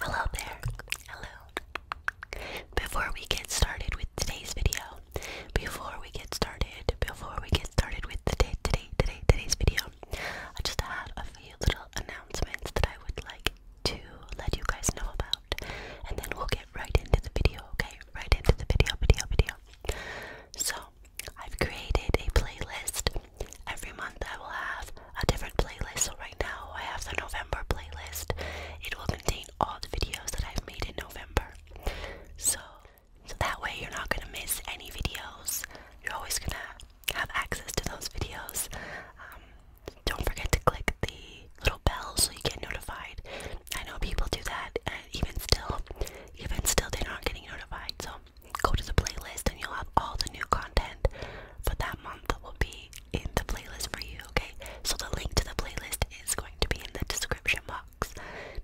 Hello there. Hello. Before we get started with today's video, before we get started, before we get started with today, today, today, today's video, I just had a few little announcements that I would like to let you guys know about, and then we'll get right into the video. Okay, right into the video, video, video. So I've created a playlist. Every month I will have a different playlist. So right now I have the November playlist. It will contain all the videos that I've made in November. So so that way you're not gonna miss any videos. You're always gonna have access to those videos. Um, don't forget to click the little bell so you get notified. I know people do that, and even still, even still, they're not getting notified. So go to the playlist, and you'll have all the new content for that month will be in the playlist for you, okay? So the link to the playlist is going to be in the description box.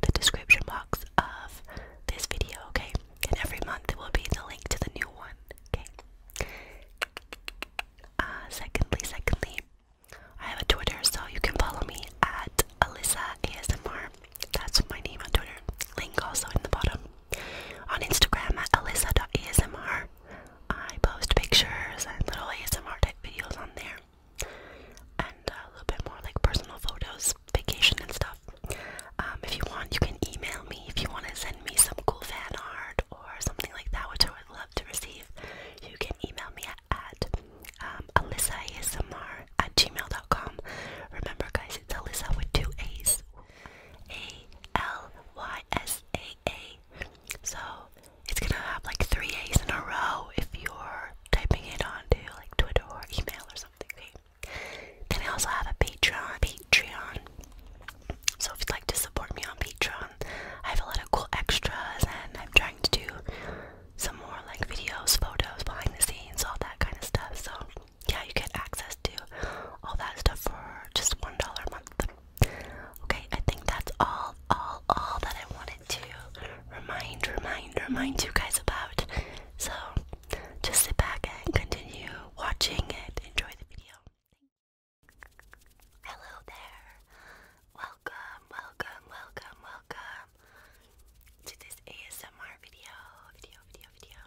The description box of this video, okay? And every month it will be the link to the new one, okay? Uh, secondly, secondly, I have a Twitter, so you can follow me at Alyssa ASMR. That's my name on Twitter. Link also in the bottom. On Instagram at alyssa.asmr, I post pictures and little ASMR tech videos on there, and uh, a little bit more like personal photos, vacation and stuff. Um, if you want, you can email me if you want to send me some cool fan art or something like that, which I would love to receive. You can email me at, alyssaasmr at um, gmail.com. Remember, guys, it's Alyssa with two A's. A L Y S A A. So it's gonna have like three A's in a row if you're typing it onto like Twitter or email or something. Okay? Then I also have a Patreon. Patreon. So if you'd like to support me on Patreon, I have a lot of cool extras and I'm trying to do some more like videos, photos, behind the scenes, all that kind of stuff. So yeah, you get access to all that stuff for just $1 a month. Okay, I think that's all, all, all that I wanted to remind, remind, remind you guys about. So just sit back and continue watching and enjoy the video. Hello there. Welcome, welcome, welcome, welcome to this ASMR video, video, video, video.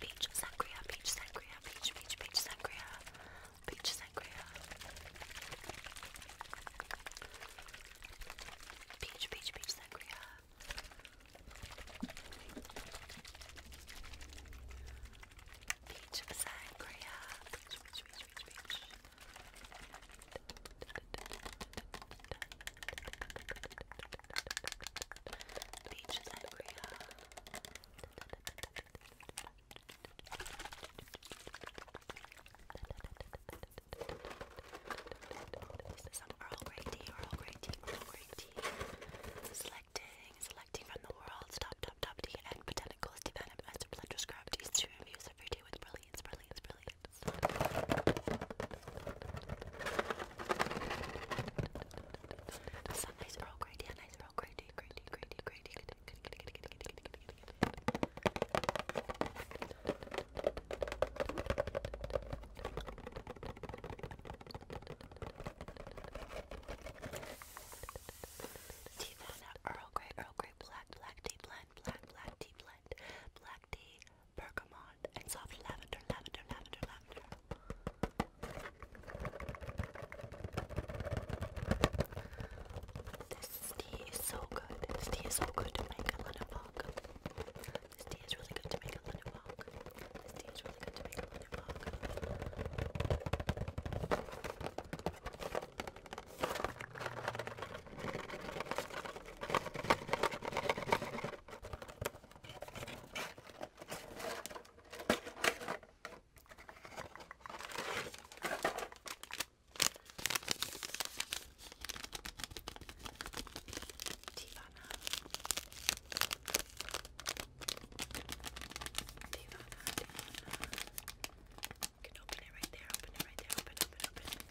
Peach sangria, peach sangria, peach, peach, peach sangria, peach sangria. Peach, peach, peach sangria. Peach sangria. Peach, peach, peach, peach, peach. Beach is angry. Is some Earl Grey tea? Earl Grey tea? Earl Selecting, selecting from the world's top, top, top tea and botanicals developed as a pleasure scrub teas every day with brilliance, brilliance, brilliance. Sundays are all great, yeah, nice, are all great, great, great, great, Tea Earl Grey, Earl Grey, black, black tea blend, black, black tea blend, black tea, bergamot, and soft lavender, lavender, lavender, lavender. This tea is so good. This tea is so good make a lunabog. This tea is really good to make a lunabog. This tea is really good to make a lunabog. Divana. Divana, Divana. You can open it right there, open it right there, open, open, open.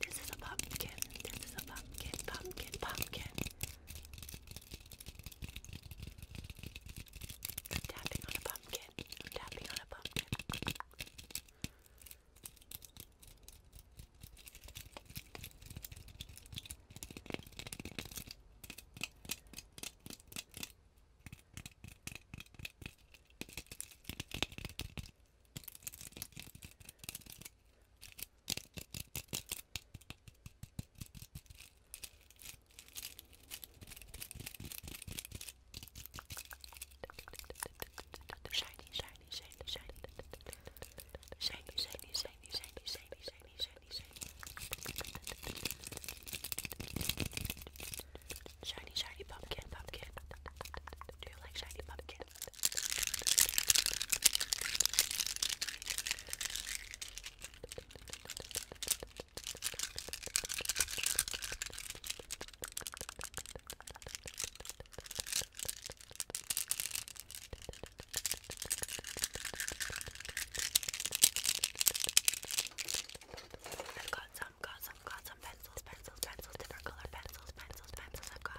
This is a pumpkin. This is a pumpkin, pumpkin, pumpkin. I'm tapping on a pumpkin. I'm tapping on a pumpkin. Shiny, shiny, shiny, shiny. Shiny, shiny, shiny, shiny, shiny, shiny, shiny, shiny. Shiny, shiny shiny, shiny, Do you like shiny shiny I've got some, got some, got some pencils, pencils, pencils, different colored pencils, pencils, pencils. I've got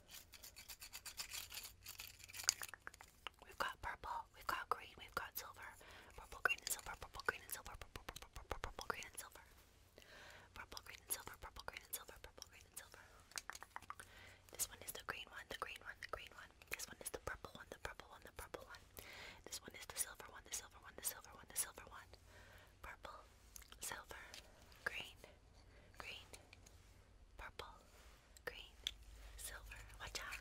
We've got purple, we've got green, we've got silver. Purple, green, and silver, purple, green, and silver, purple, purple, purple, purple, green, and silver. Purple, green, and silver, purple, green, and silver, purple, green, and silver. This one is the green one, the green one, the green one. This one is the purple one, the purple one, the purple one. This one is the silver one, the silver one, the silver one, the silver one. Purple, silver, green, green, purple, green, silver. Watch out.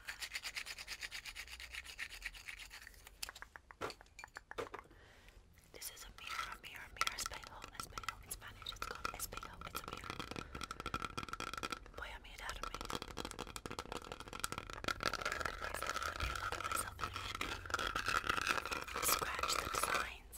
This is a mirror, a mirror, a mirror, espejo, espejo. In Spanish, it's called espejo. It's a mirror. Voy a mirar Scratch the designs.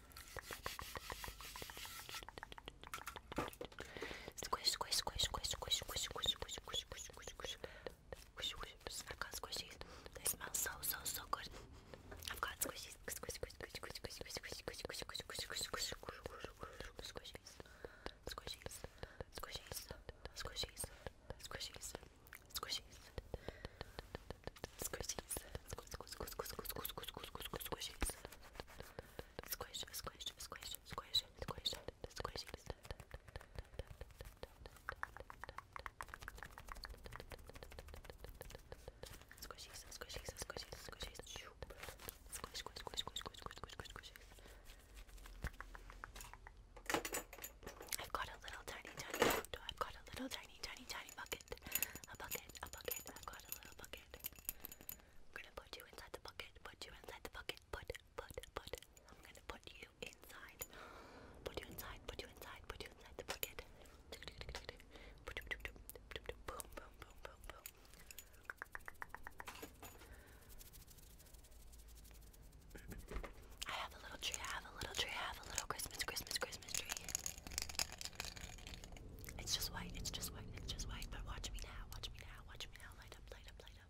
Squish, squish, squish, squish, squish, squish, squish, squish, squish, squish, squish, squish. Squish, squish, I've got squishies. They smell so, so, so good. I've got squishies. Squish, squish, squish, squish, squish, squish, squish, squish, squish, squish, squish, squish, squish, squish, squishies. Squishies. Squishies. Squishies. Squishies. Squishies. Squishies. Squish, squish, squish, squish, squish, squish, squish, squish, squish, squishies squish, squish, squish, squish, squish, squish. Squishies, squishies, squishies, squishies. Squish, squish, squish, squish, squish, squish, squish, squish. I've got a little tiny, tiny. I've got a little tiny, tiny, tiny bucket. A bucket, a bucket. I've got a little bucket bucket. I'm gonna put you inside the bucket, put you inside the bucket, put, put, put. I'm gonna put you inside. Put you inside, put you inside, put you inside the bucket. Boom, boom, boom, boom, boom. I have a little tree, I have a little tree, I have a little Christmas, Christmas, Christmas tree. It's just white, it's just white, it's just white, but watch me now, watch me now, watch me now, light up, light up, light up.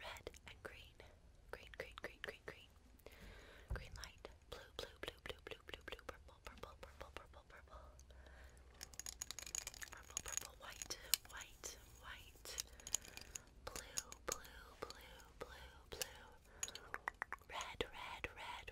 Red and green. Green, green, green, green, green. Green light. Blue, blue, blue, blue, blue, blue, blue, purple, purple, purple, purple, purple. Purple, purple, white, white, white. Blue, blue, blue, blue, blue. Red, red, red,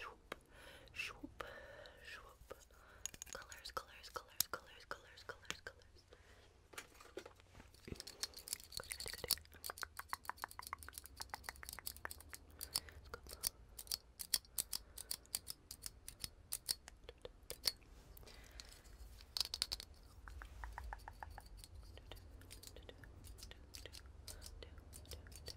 Swoop, swoop, swoop. Colors, colors, colors, colors, colors, colors, colors.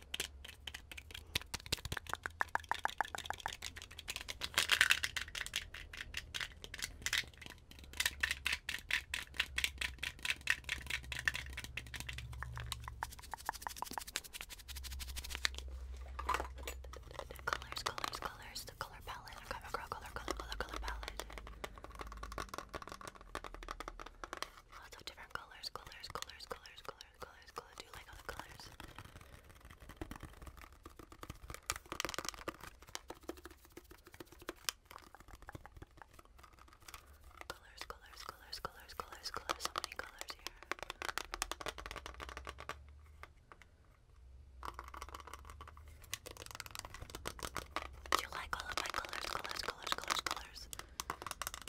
The colors, colors, colors, the color palette. I'm color, color, color, color palette. Lots of different colors, colors, colors, colors, colors colors, colors, Do you like all the colors? Colors, colors, colors, colors, colors, colors. So many colors here. Do you like all of my colors, colors, colors, colors, colors?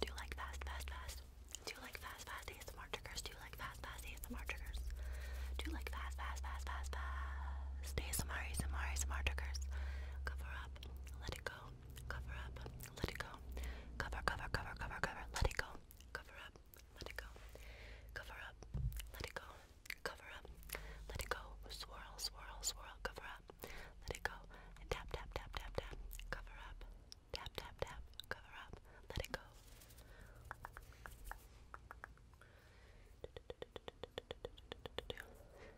Do you like fast, fast, fast? Do you like fast, fast ASMR triggers? Do you like fast, fast ASMR triggers? Do you like fast, fast, fast, fast, fast ASMR, ASMR, ASMR triggers? Cover up up, let it go, cover up, let it go, cover, cover, cover, cover, cover, let it go, cover up, let it go, cover up, let it go, cover up, let it go, swirl, swirl, swirl, cover up, let it go, and tap, tap, tap, tap, tap, cover up, tap, tap, tap, cover up, let it go.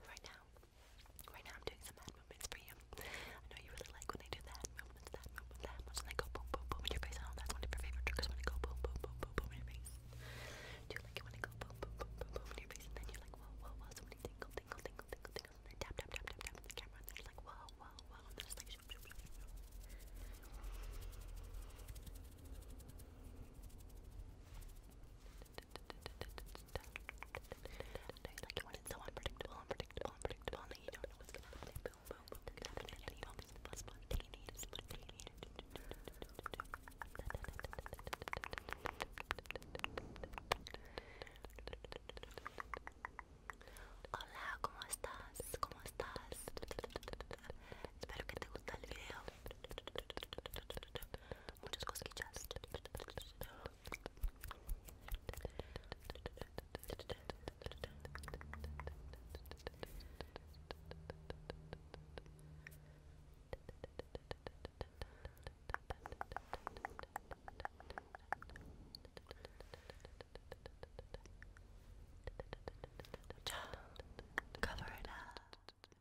Right now, Right now I'm doing some hand movements for you. I know you really like when they do the movements, that movement, that movement, and go boom, boom, boom in your face. that's one of your favorite triggers when I go boom, boom, boom, boom, boom in your face. Do you like it when I go boom, boom, boom, boom, boom in your face? And then you're like, whoa, whoa, whoa, so many tingle, tingle, tingle, tingle, tingle, and then tap, tap, tap, tap, tap on the camera, and you're like, whoa, whoa, whoa, and like, you you Hola, ¿cómo estás? ¿Cómo estás? Espero que te guste el video muchas cosquillas. Cover it up.